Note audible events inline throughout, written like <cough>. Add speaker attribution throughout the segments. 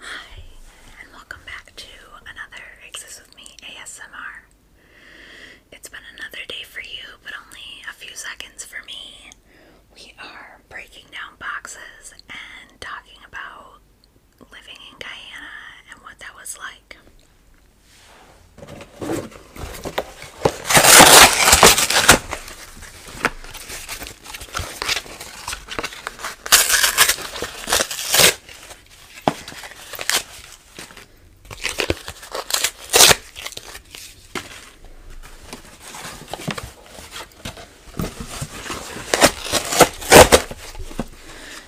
Speaker 1: Hi, and welcome back to another Exist With Me ASMR. It's been another day for you, but only a few seconds for me. We are breaking down boxes and talking about living in Guyana and what that was like.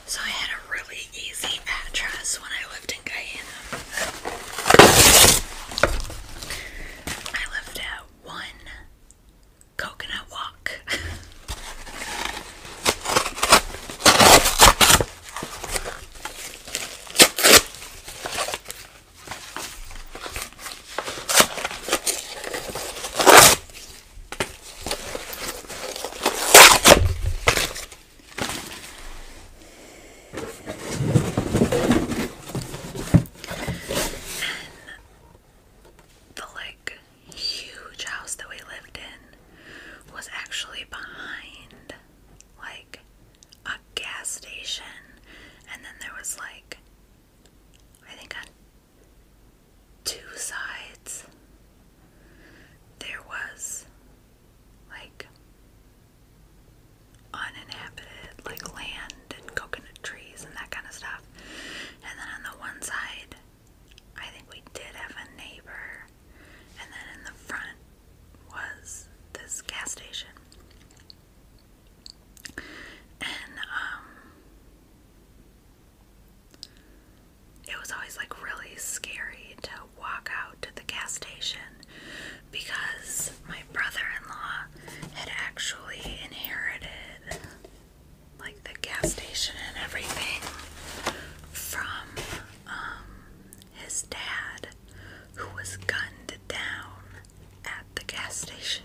Speaker 1: So I had a really easy address when I lived in Guyana. I lived at one coconut walk the like huge house that we lived in was actually behind like a gas station and then there was like I think on two sides there was like uninhabited like land and coconut trees and that kind of stuff. And then on the one side, I think we did have a neighbor. And then in the front was this gas station. And, um, it was always like really scary to walk out to the gas station because my brother in law had actually inherited like the gas station and everything from um, his dad, who was gunned down at the gas station.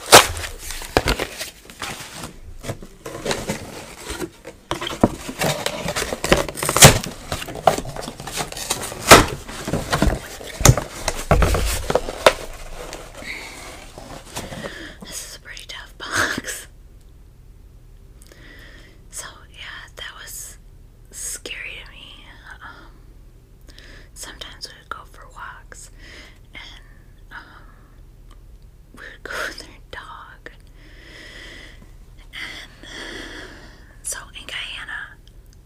Speaker 1: This is a pretty tough <laughs> box. So, yeah, that was scary to me. Um, sometimes we would go for walks and um, we would <laughs> go with their dog. And so in Guyana,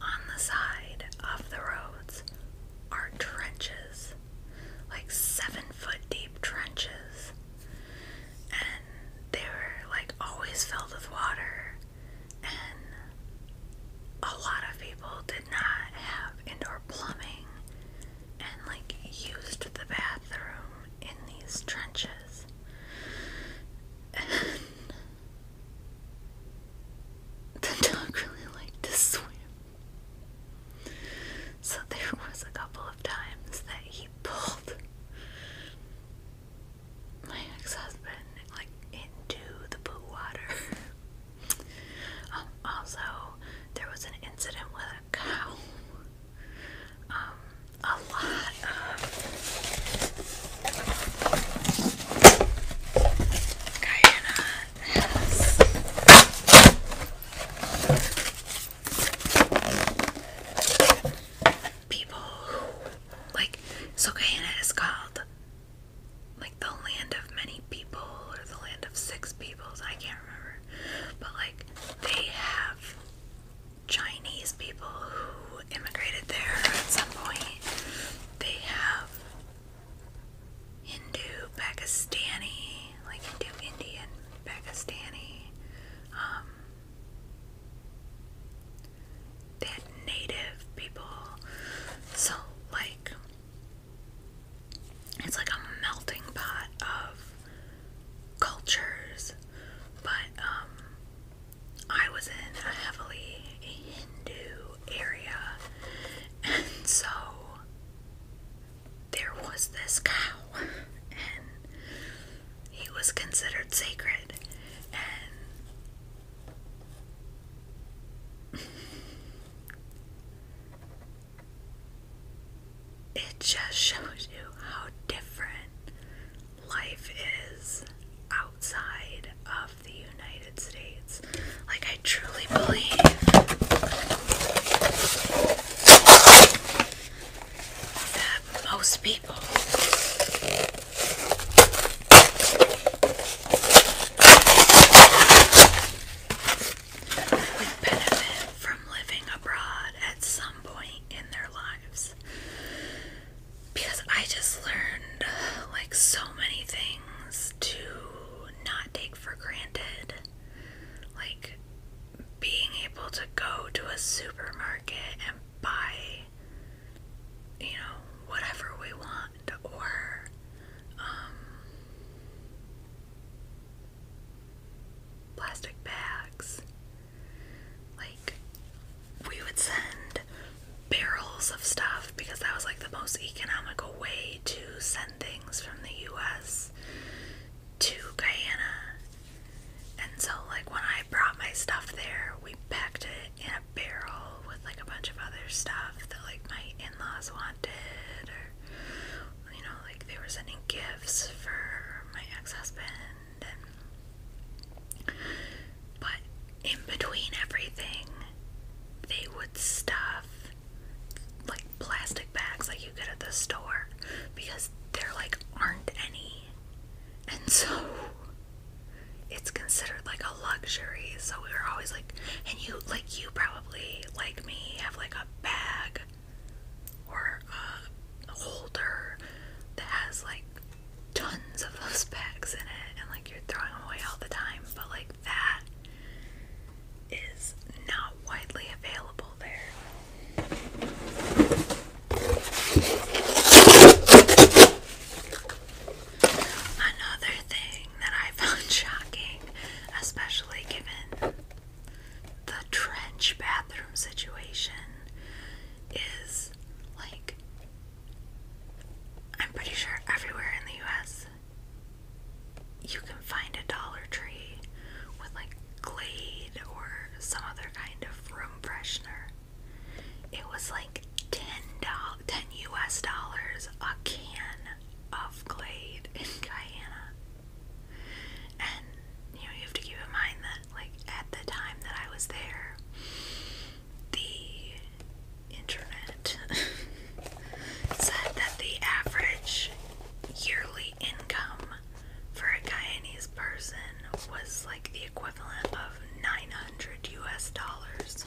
Speaker 1: on the side of the roads are trenches, like seven foot deep trenches. And they were like always filled with water a lot of people did not have indoor plumbing and like used the bathroom in these trenches. <laughs> the dog really liked to swim. So there was a couple of times that he pulled my ex-husband like into the poo water <laughs> Um, also, there was an incident with a cow. Um, a lot of Guyana has people like, so Guyana is called like the land of many people or the land of six peoples, I can't remember. But like they have Chinese people who immigrated there at some point. They have Hindu, Pakistani, like Hindu, Indian, Pakistani. Um, they had native people. So, like, it's like a melting pot of cultures, but um, I was in a heavily Hindu area, and so there was this cow, and he was considered sacred, it just shows you how different life is outside of the United States. Like, I truly believe that most people would benefit from living abroad at some point in their lives. Because I just learned like so many things to not take for granted. Like being able to go to a supermarket and buy, you know, whatever we want, or um, plastic bags. Like, we would send barrels of stuff because that was like the most economical way to send things from the US to Guyana. And so, like, when I brought my stuff there, we packed it in a barrel with like a bunch of other stuff that like my in-laws wanted or you know like they were sending gifts for my ex-husband and but in between everything they would stuff like plastic bags like you get at the store because there like aren't any and so it's considered like a luxury so we were always like and you, like, you probably, like me, have like a bag or a holder that has like tons of those <laughs> bags in it, and like you're throwing them away all the time, but like that is not widely available there. Another thing that I found <laughs> shocking, especially given the trench bathroom situation, is like I'm pretty sure everywhere in the US you can find a Dollar Tree with like Glade or some other kind of room freshener. It was like ten dollars, ten US dollars a can of Glade in Guyana. And you know, you have to keep in mind that like at the time that I was there, the internet <laughs> said that the average yearly income for a Guyanese person was like the equivalent of 900 US dollars.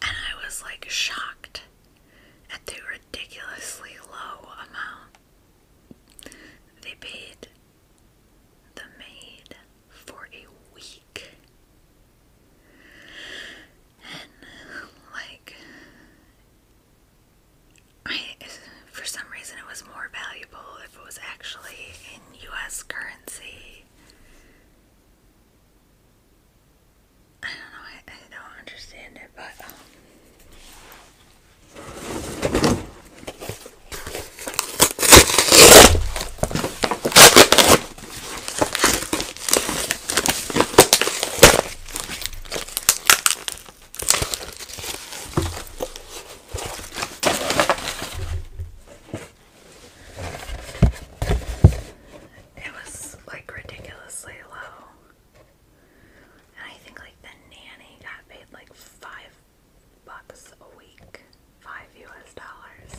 Speaker 1: And I was like shocked at the ridiculously low amount they paid the maid for a week. And like, for some reason, it was more valuable if it was actually in U.S. currency. I don't know. I, don't understand it, but um, it was like ridiculously low. And I think like the nanny got paid like five bucks a week. Five US dollars.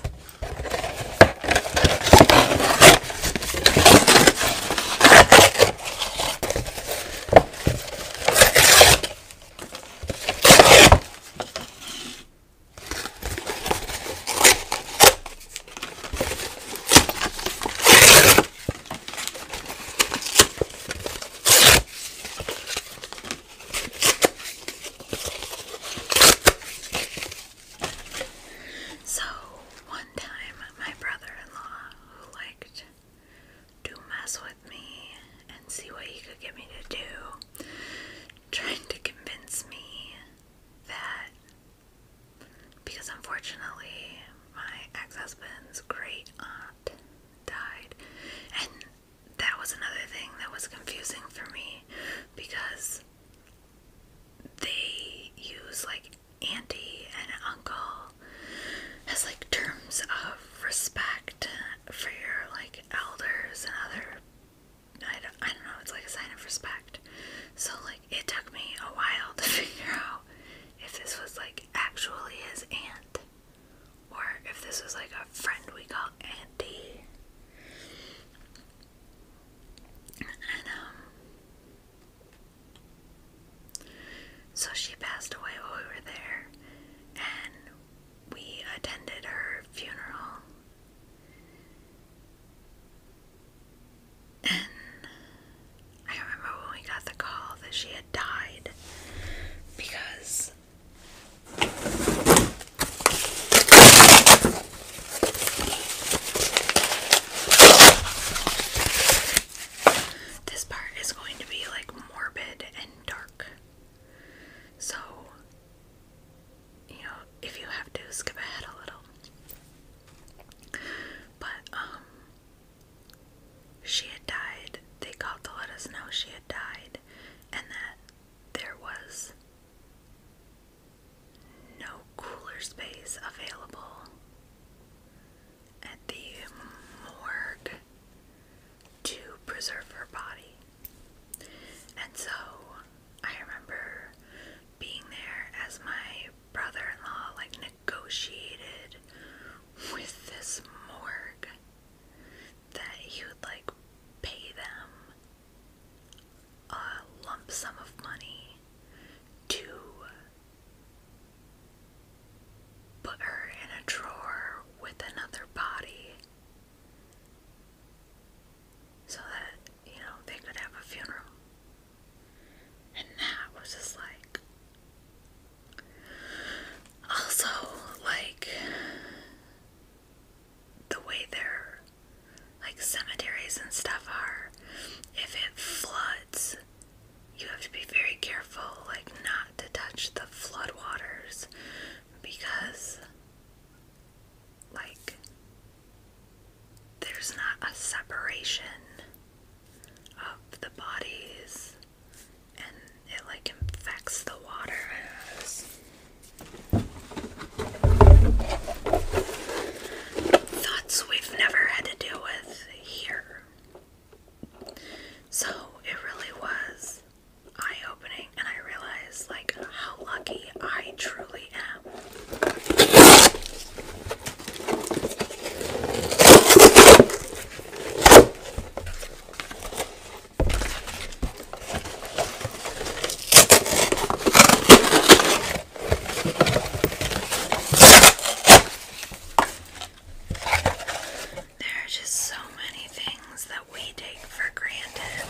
Speaker 1: So, one time my brother in law, who liked to mess with me and see what he could get me to do, trying to convince me that because unfortunately my ex husband's great aunt died, and that was another thing that was confusing for me because they use like auntie and uncle as like terms of respect for your like elders and other I don't, I don't know, it's like a sign of respect. So like it took me a while to <laughs> figure out if this was like actually his aunt or if this was like a friend we call Auntie. And um so she passed away while we were there and we attended her funeral. And I remember when we got the call that she had died because this part is going to be like morbid and dark. So, you know, if you have to, skip ahead a little. But, um, she had died. They called to let us know she had died and that there was no cooler space available at the morgue to preserve her body. And so I remember being there as my brother in law, like, negotiated with this morgue that he would, like, pay them a lump sum of money to put her in a drawer with another body so that, you know, they could have a funeral. And that was just like. Also, like, the way their, like, cemeteries and stuff are, if it floods, you have to be very careful like not to touch the floodwaters because like there's not a separation of the bodies and it like infects the water thoughts we've never had to deal with here so it really was eye opening, and I realized like how lucky I truly am. There are just so many things that we take for granted.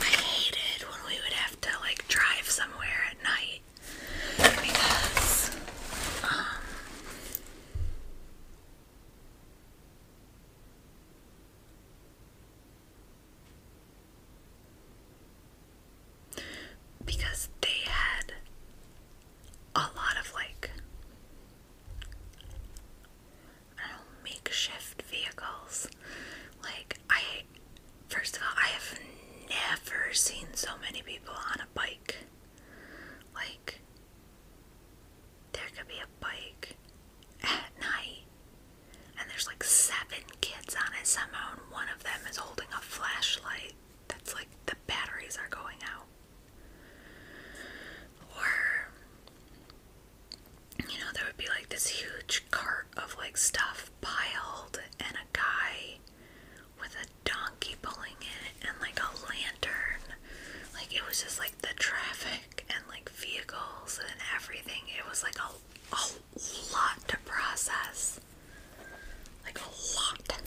Speaker 1: I hated when we would have to like drive somewhere at night because um, because they had a lot of like makeshift vehicles. Like I, first of all, I have never seen so many people on a bike. Like, there could be a bike at night, and there's like seven kids on it somehow, and one of them is holding a flashlight that's like the batteries are going out. Or you know, there would be like this huge cart of like stuff piled and a guy with a donkey pulling it and like a lantern. Like it was just like the traffic and like vehicles and everything. It was like a, a lot to process. Like a lot.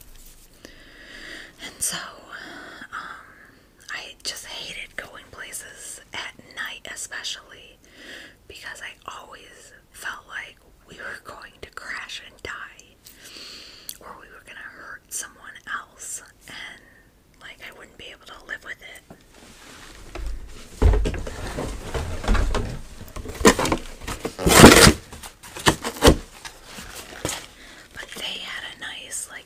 Speaker 1: And so, um, I just hated going places at night, especially because I always felt like we were going to crash and die or we were going to hurt someone else and like I wouldn't be able to live with it. But they had a nice like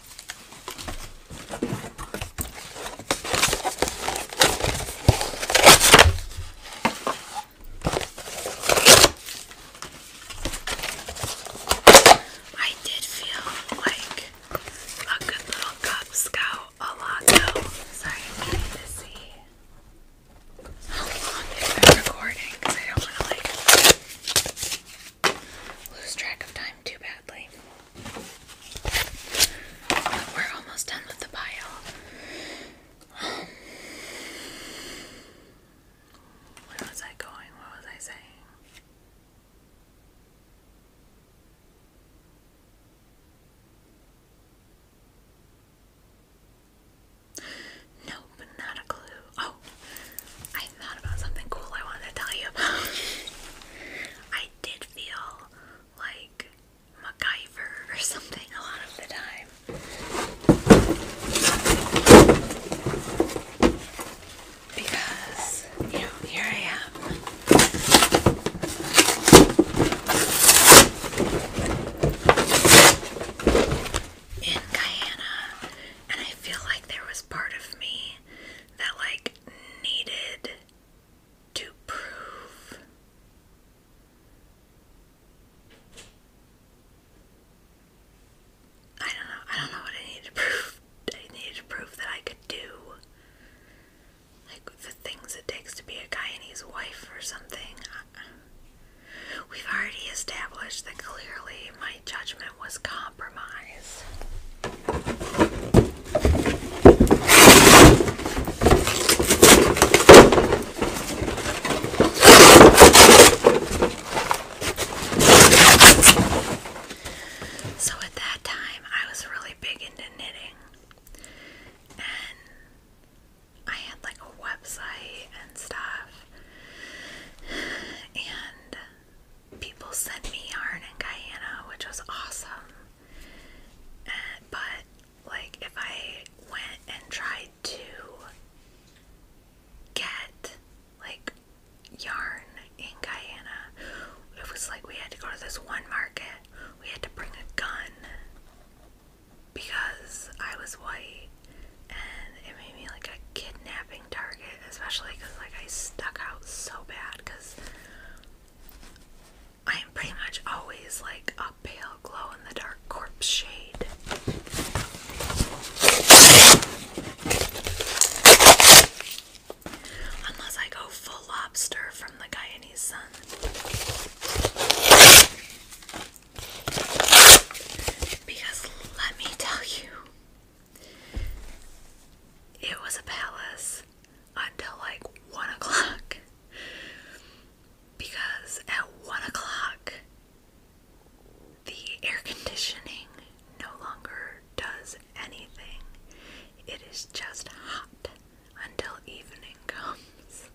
Speaker 1: I did feel like a good little Cub Scout a lot though. Sorry, I need to see how long is my recording because I don't want to like lose track of time too badly. we're almost done with the pile. where was I going? What was I saying? Nope, not a clue. Oh, I thought about something cool I wanted to tell you about. <laughs> I did feel like MacGyver or something a lot of the time. Because, you know, here I am. In Guyana, and I feel like there was part of me that like needed to prove I don't know. I don't know what I needed to prove. I needed to prove that I could do like the things it takes to be a guy wife or something. We've already established that clearly my judgment was compromised. So at that time, I was really big into knitting. And I had like a website and stuff. <sighs> And people sent me yarn in Guyana, which was awesome. but like if I went and tried to get like yarn in Guyana, it was like we had to go to this one market. We had to bring a gun because I was white and it made me like a kidnapping Target, especially because like I stuck out so bad because I am pretty much always like a pale glow in the dark corpse shade. Unless I go full lobster from the Guyanese sun. Because let me tell you, it was a palace until like one o'clock because at one o'clock the air conditioning no longer does anything. It is just hot until evening comes.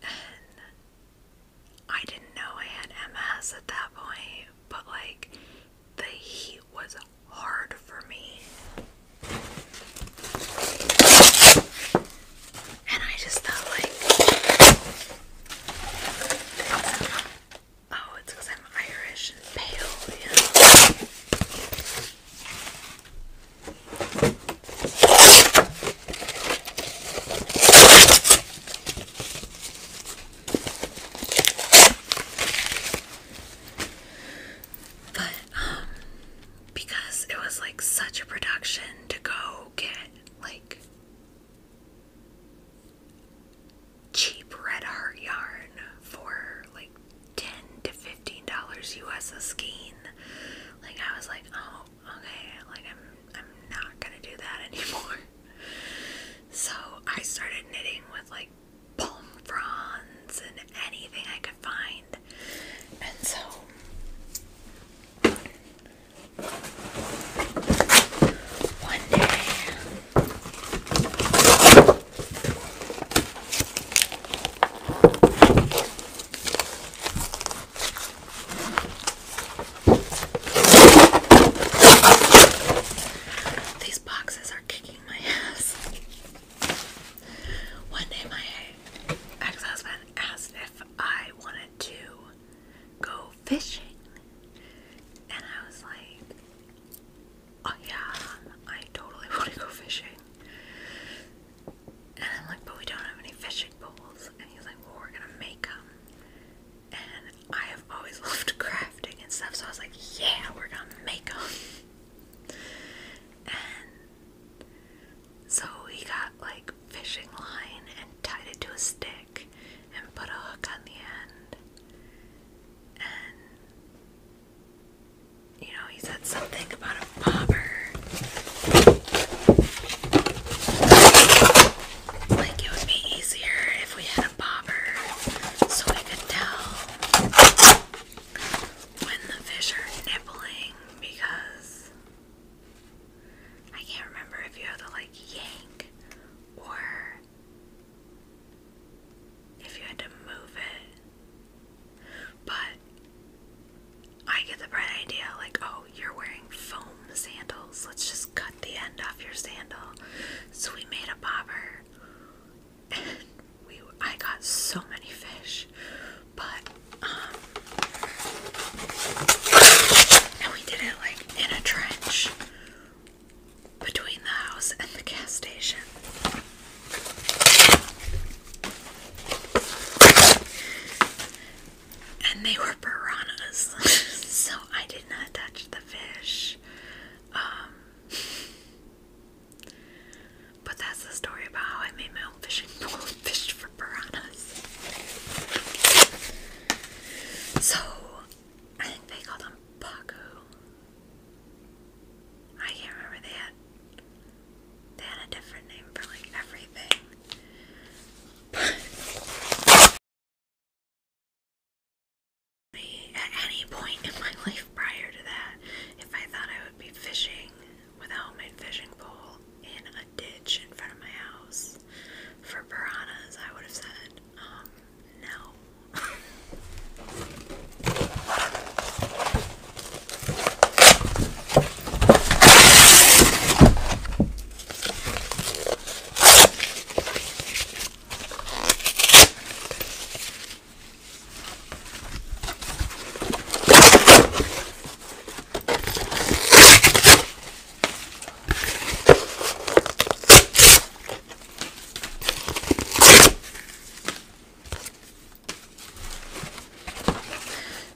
Speaker 1: And I didn't know I had MS at that point, but like the heat was hard for me. And I just thought, like, oh, it's because I'm Irish and pale, you but um because it was like such a production to go get like cheap red heart yarn for like 10 to 15 dollars US a skein. Like I was like, "Oh, okay, like I'm I'm not going to do that <laughs> anymore." So I started knitting with like palm fronds and anything I could find. And so one day these boxes are kicking my ass. One day, my ex husband asked if I wanted to go fishing, and I was like, Oh, yeah, I totally <laughs> want to go fishing. And I'm like, But we don't have any fishing poles. And he's like, Well, we're gonna make them and I have always <laughs> loved crafting and stuff, so I was like, yeah, we're gonna make them. and so he got like fishing line and tied it to a stick and put a hook on the end. And you know, he said something about a bobber. Like it would be easier if we had a bobber so we could tell when the fish are nibbling because I can't remember if you have to like yank or if you had to move it. But I get the bright idea like, oh, you're wearing foam sandals. Let's just cut the end off your sandal. So we made a bobber. <laughs> we I got so many fish. But um, and we did it like in a trench between the house and the gas station. And they were piranhas, <laughs> so I did not touch the fish. Um, but that's the story about how I made my own fishing <laughs> pole and fished for piranhas. So, I think they called them pacu. I can't remember they they had a different name for like everything at any point in my <laughs> life prior to that if I thought I would be fishing without my fishing pole in a ditch in front of my house for piranhas, I would have said, um, no.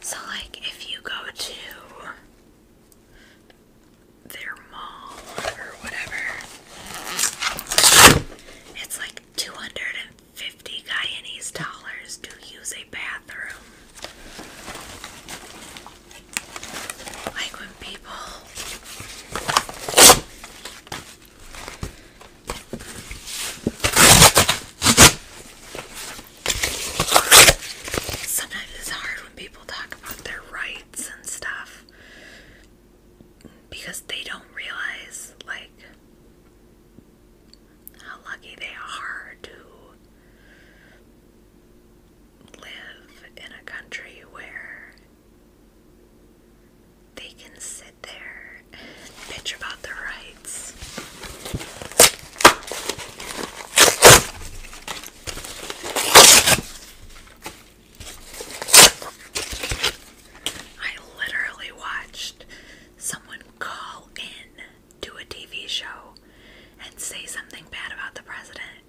Speaker 1: So, like, if you go to their mall or whatever. It's like 250 Guyanese dollars to use a bathroom. Like when people Sometimes it's hard when people talk about their rights and stuff because they don't realize like how lucky they are to live in a country where they can sit there bitch about their rights. I literally watched someone call in to a TV show and say something bad about the president,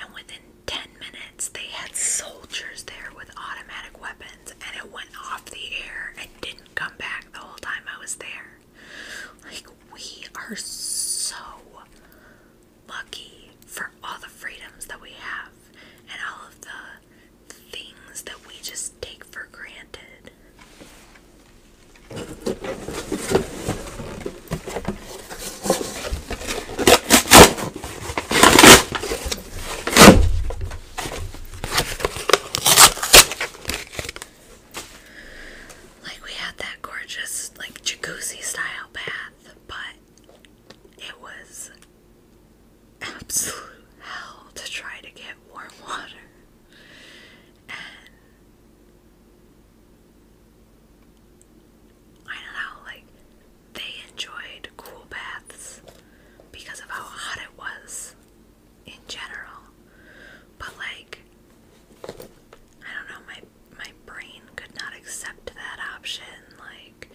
Speaker 1: and within 10 minutes, they had soldiers there with automatic weapons, and it went off the air and didn't come back the whole time I was there. Like, we are so lucky for all the freedoms that we have and all of the things that we just take for granted. Like we had that gorgeous like jacuzzi style bath, but it was absolute hell to try to get warm water. And I don't know, like, they enjoyed cool baths because of how hot it was in general. But, like, I don't know, my my brain could not accept that option. Like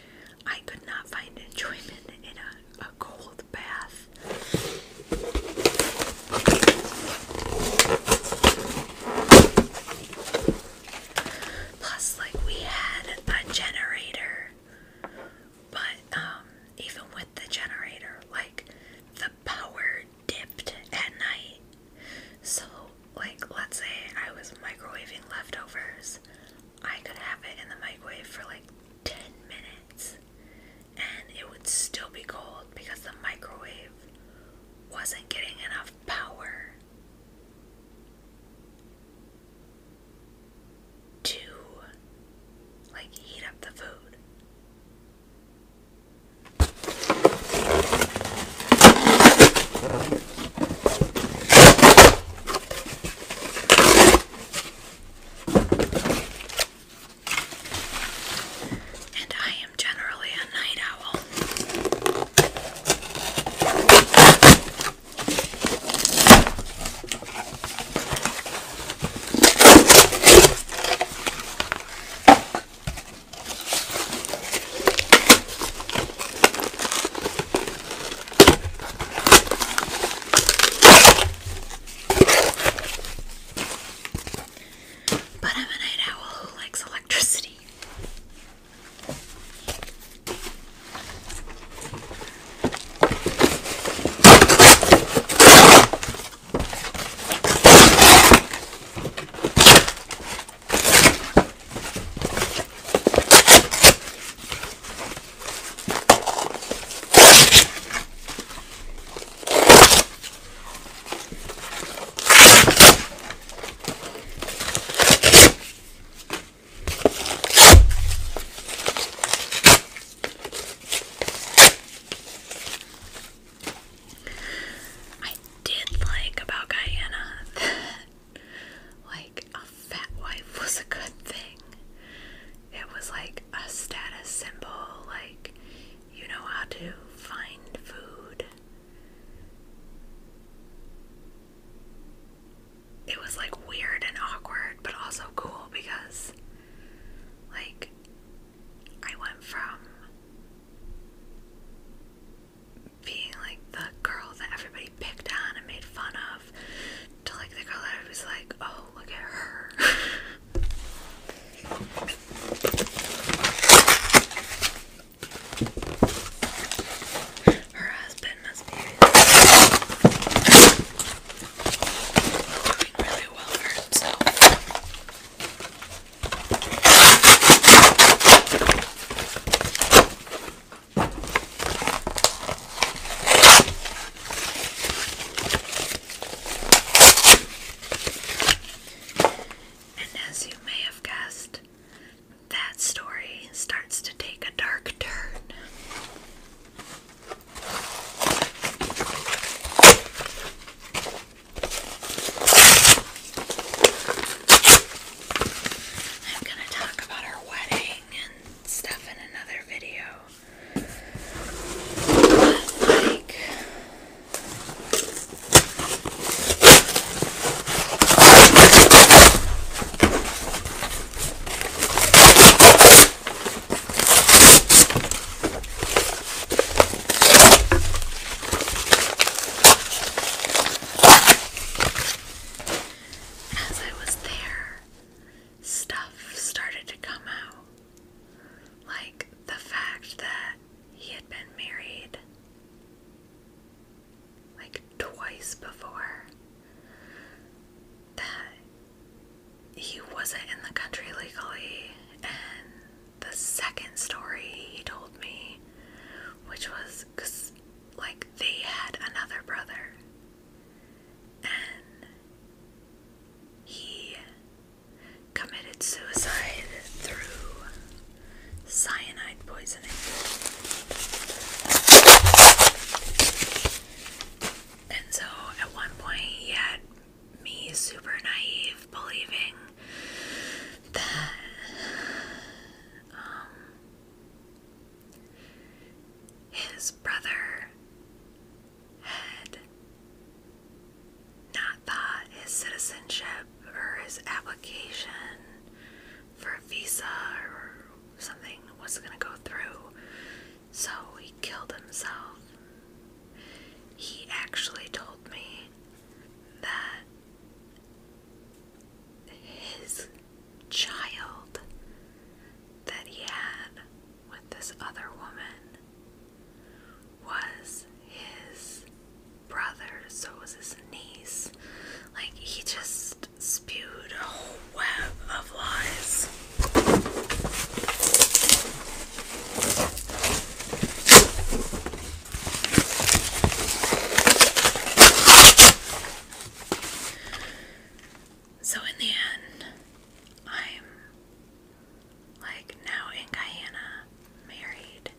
Speaker 1: I could not find enjoyment in a, a cold bath. Plus, like we had a generator, but um, even with the generator, like the power dipped at night so, like, let's say I was microwaving leftovers, I could have it in the microwave for like 10 minutes and it would still be cold because the microwave wasn't getting enough power to like heat up the food. And I am generally a night owl. But I'm a night owl who likes electricity. I did like about Guyana <laughs> like a fat wife <laughs> was a good thing. It was like a status symbol, like you know how to find food. It was like weird and awkward, but also cool because, like, I went from being like the girl that everybody picked on and made fun of to like the girl that was like, oh, look at her. <laughs> her husband must be doing really well for himself. And as you may have guessed, that story starts to take a dark turn. I'm gonna talk about our wedding and stuff in another video. But like as I was there, stuff started to come out. Like the fact that he had been married like twice before, that he wasn't in the country legally, and the second story he told me, which was like they had another brother and he committed suicide through cyanide poisoning. And so at one point he me super naive believing that um, his brother had not thought his citizenship or his application for a visa or something was going to go through, so he killed himself. He actually told me that his child that he had with this other woman was his brother, so was his niece. Like, he just spewed a whole web of lies. So in the end, I'm like now in Guyana, married,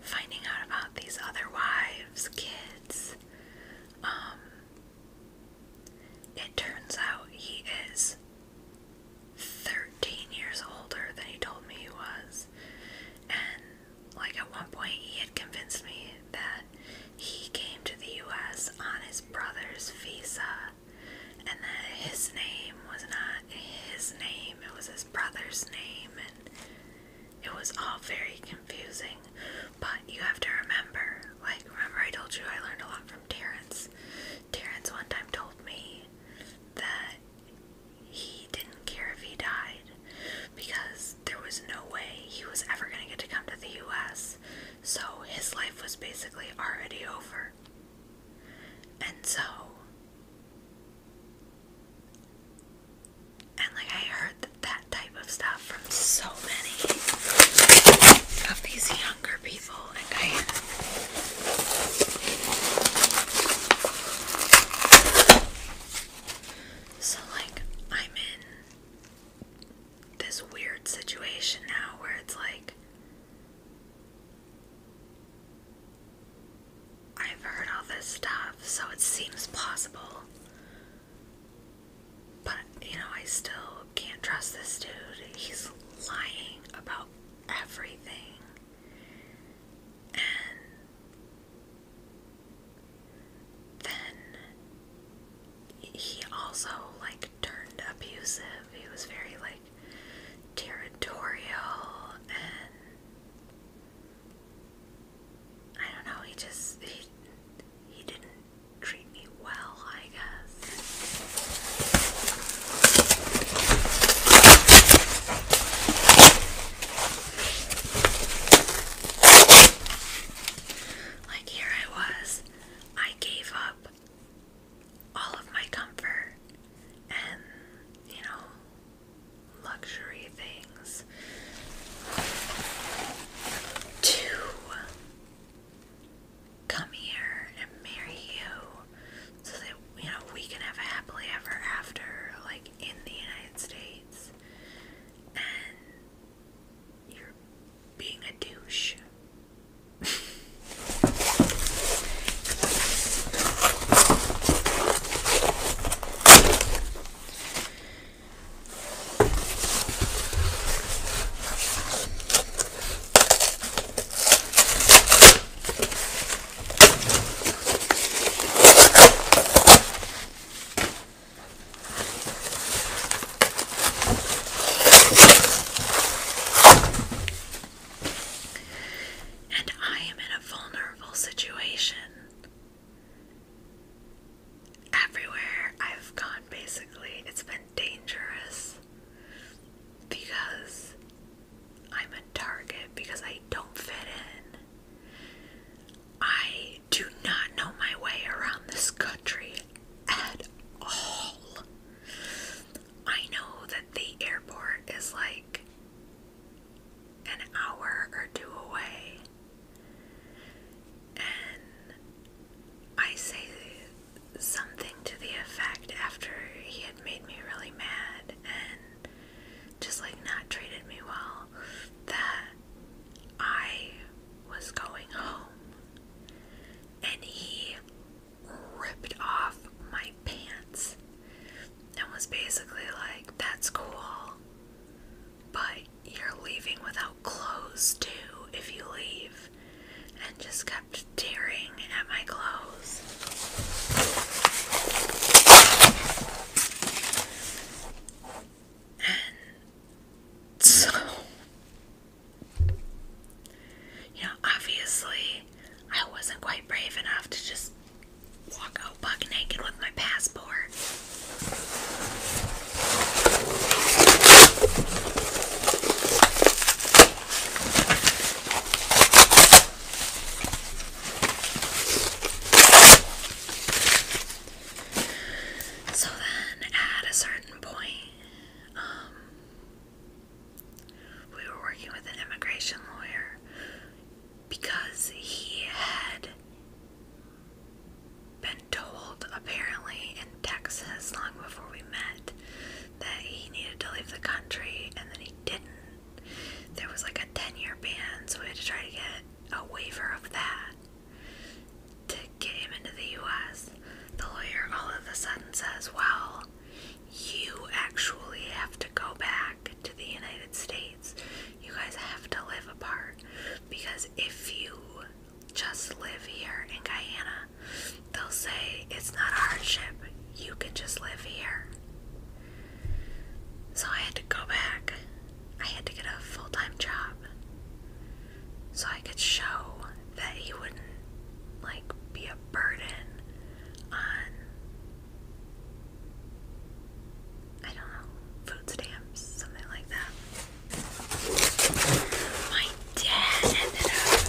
Speaker 1: finding out about these other wives, kids. Um, it turns out he is 13 years older than he told me he was, and like at one point, he had convinced me that he came to the U.S. on his brother's visa, and that his name was not his name; it was his brother's name, and it was all very confusing. But you have to remember, like remember I told you I learned a lot from Terrence. Terrence one time told me that he didn't care if he died because there was no way he was ever going to get to come to the US. So his life was basically already over. And so. And like I heard that, type of stuff from so many of these younger people, and I so, like, I'm in this weird situation now where it's like I've heard all this stuff, so it seems possible, But, you know, I still can't trust this dude. He's lying about everything. And then he also like turned abusive. He was very like territorial and I don't know, he just he he didn't treat me well, I guess. Like, here I was, I gave up all of my comfort and, you know, luxury things to come here and marry you so that, you know, we can have a happily ever after, like in the United States and you're being a douche. And I am in a vulnerable situation. Everywhere I've gone, basically, it's been dangerous because I'm a target because I don't fit in. I do not know my way around this country at all. I know that the airport is like an hour or two away. And I say something to the effect after he had made me really mad, and just like not treated me well that I was going home and he ripped off my pants and was basically like, That's cool, but you're leaving without clothes too if you leave, and just kept tearing at my clothes so, you know, obviously, I wasn't quite brave enough to just walk out buck naked with my passport. So then, at a certain point, um, we were working with an immigration lawyer because he had been told, apparently, in Texas long before we met, that he needed to leave the country and then he didn't. There was like a 10 year ban, so we had to try to get a waiver of that to get him into the US. The lawyer all of a sudden says, Well, you actually have to go back to the United States. You guys have to live apart because if you just live here in Guyana, they'll say it's not a hardship. You can just live here. So I had to go back. I had to get a full time job so I could show that he wouldn't like be a burden on I don't know, food stamps, something like that. My dad ended up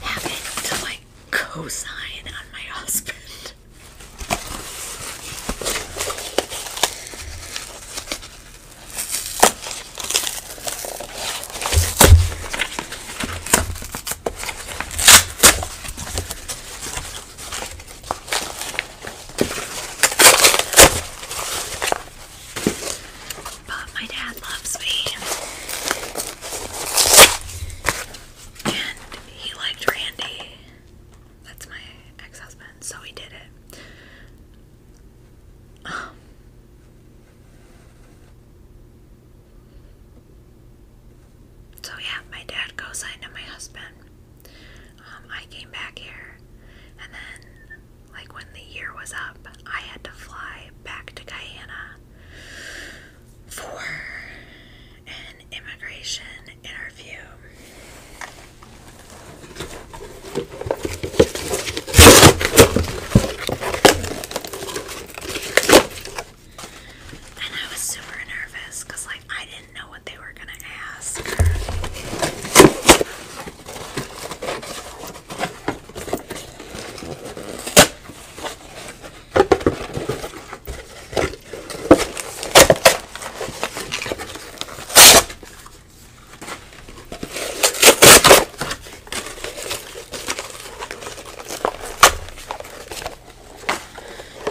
Speaker 1: having to like co-sign on my husband but my dad loves me. And he liked Randy. That's my ex husband, so he did it. Um, so, yeah, my dad co signed on my husband. Um, I came back here, and then, like, when the year was up, I had to fly back to Guyana for an immigration interview. And I was super nervous because, like, I didn't know what they were going to ask.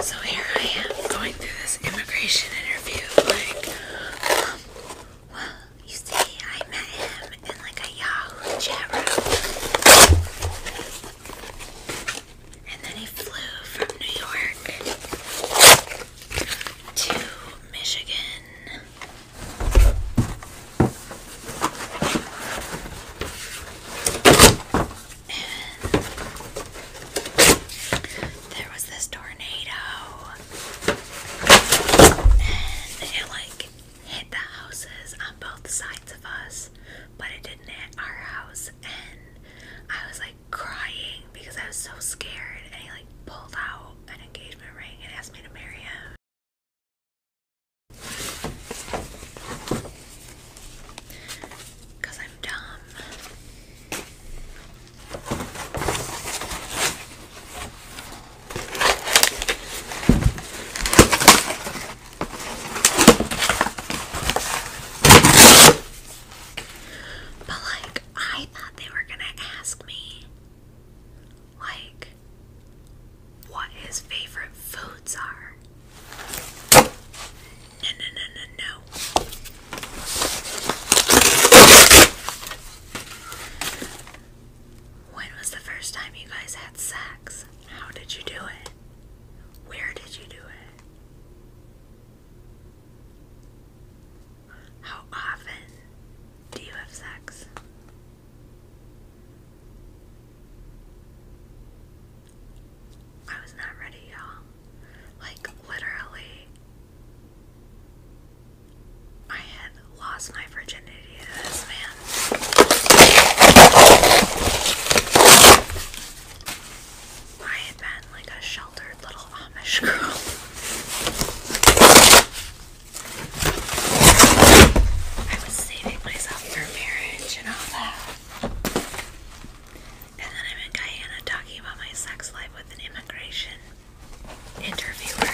Speaker 1: So here I am going through this immigration interview like, um, well, you see, I met him in like a Yahoo chat room. And then he flew from New York to Michigan. And there was this tornado. And it like hit the houses on both sides of us, but it didn't hit our house. And I was like crying because I was so scared. And he like pulled out an engagement ring and asked me to marry him. Because I'm dumb. But like I thought they were gonna ask me like what his favorite foods are. No no no no no when was the first time you guys had sex? How did you do it? Where did you do it? How often do you have sex? I was not ready, y'all. Like, literally, I had lost my virginity to this man. I had been like a sheltered little Amish girl. I was saving myself for marriage and all that. And then I'm Guyana talking about my sex life with an immigration interviewer.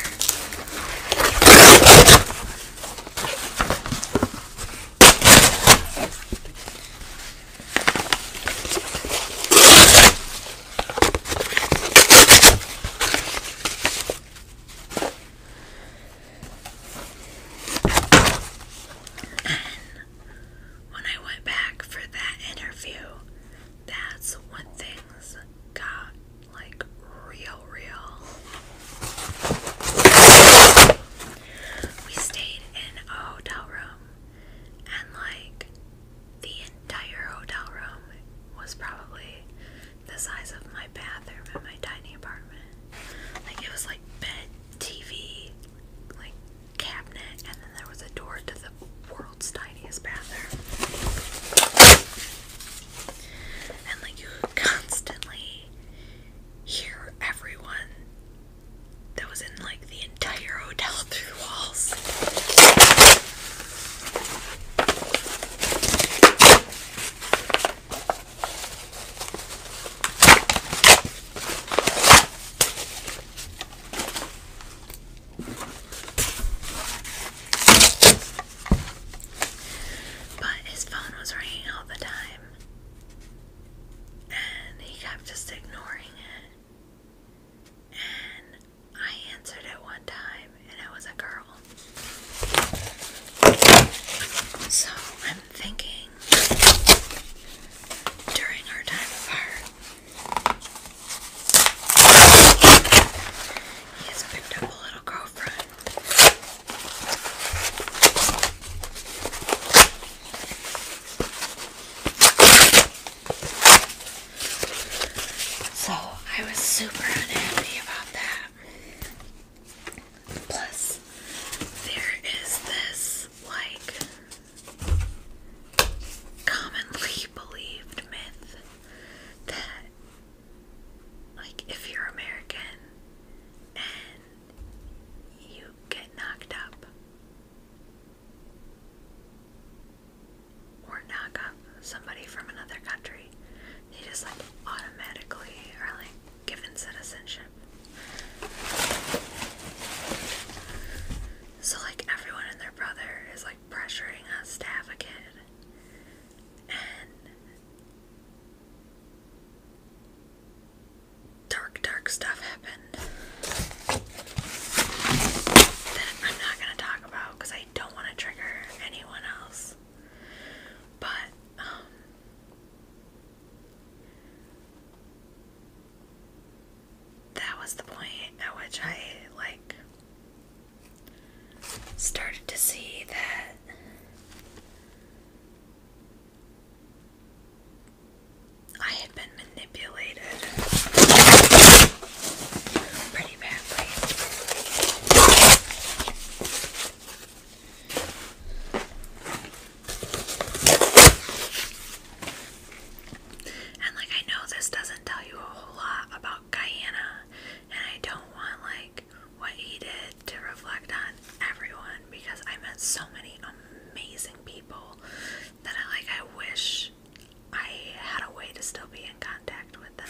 Speaker 1: When I went back for that interview, that's when things got like real real. We stayed in a hotel room and like the entire hotel room was probably the size of my bathroom in my tiny apartment. Like it was like bed, TV, like cabinet, and then there was a door to the world's tiniest bathroom and like you constantly hear everyone that was in like the entire hotel <laughs> through walls. But his phone was ringing all the time, and he kept just ignoring it. And I answered it one time, and it was a girl. So I'm thinking during our time apart, he has picked up a little girlfriend. So I was super unhappy about that. Plus, there is this like commonly believed myth that like if you're American and you get knocked up or knock up somebody from another country, they just like automatically are like given citizenship. So like everyone and their brother is like pressuring us to have a kid and dark, dark stuff happened I'm not going to talk about because I don't want to trigger anyone else. But, um, that was the point at which I, like, started to see that I had been manipulated pretty badly. And like I know this doesn't tell you a whole lot about Guyana and I don't want like what he did to reflect on everyone because I met so many amazing people that I like I wish I had a way to still be in contact with them.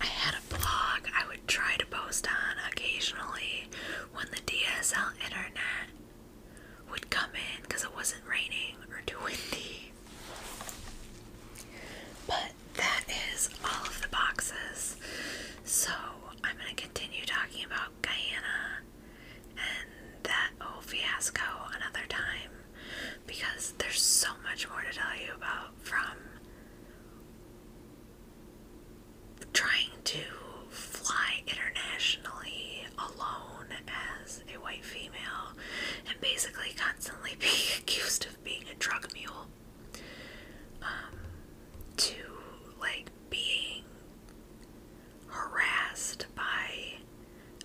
Speaker 1: I had a blog. I try to post on occasionally when the DSL internet would come in because it wasn't raining or too windy. But that is all of the boxes. So I'm going to continue talking about Guyana and that old fiasco another time because there's so much more to tell you about from trying to fly internationally alone as a white female and basically constantly <laughs> being accused of being a drug mule um, to like being harassed by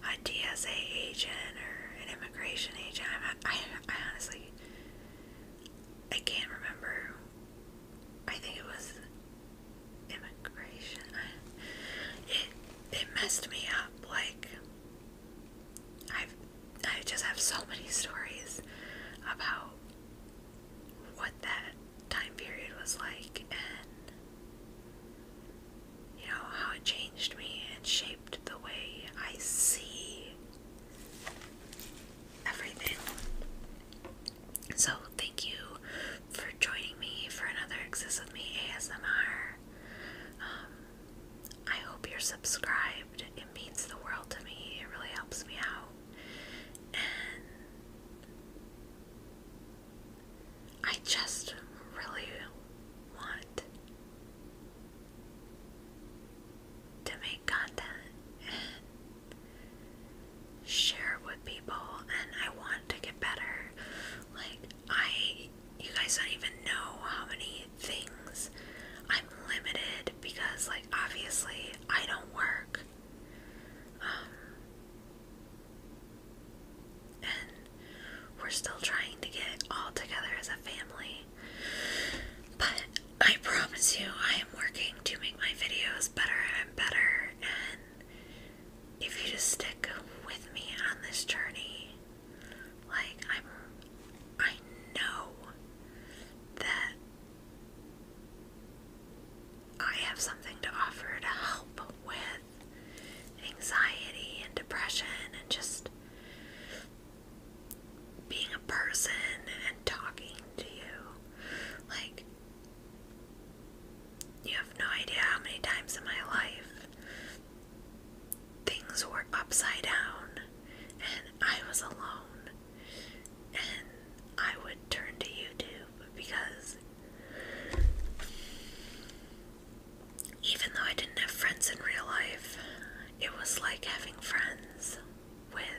Speaker 1: a DSA agent or an immigration agent. I, I, I honestly, I can't remember I think it was immigration. It it messed me up. Like I've I just have so many stories about what that time period was like and you know how it changed me and shaped the way I see everything. So, thank you for joining me for another Exist With Me ASMR. Um, I hope you're subscribed. It means the world to me. It really helps me out. And I just really want to make content share with people and I want to get better. Like I you guys don't even know how many things I'm limited because like obviously I don't work. Um, and we're still trying to get all together as a family. But I promise you, I am working to make my videos better and better. And if you just stick with me on this journey, like I'm, I know that I have something to offer to help with anxiety and depression and just being a person and talking to you. Like, you have no idea how many times in my life things were upside down and I was alone and I would turn to YouTube because even though I didn't have friends in real life, it was like having friends with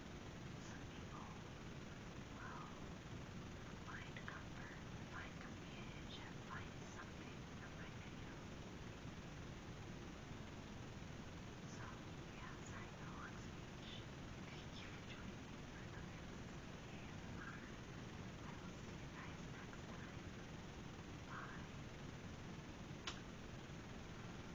Speaker 1: some people will find comfort, find companionship, find something from my videos. So, yeah, sorry for the long speech. Thank you for joining me for another ASMR. I will see you guys next time. Bye.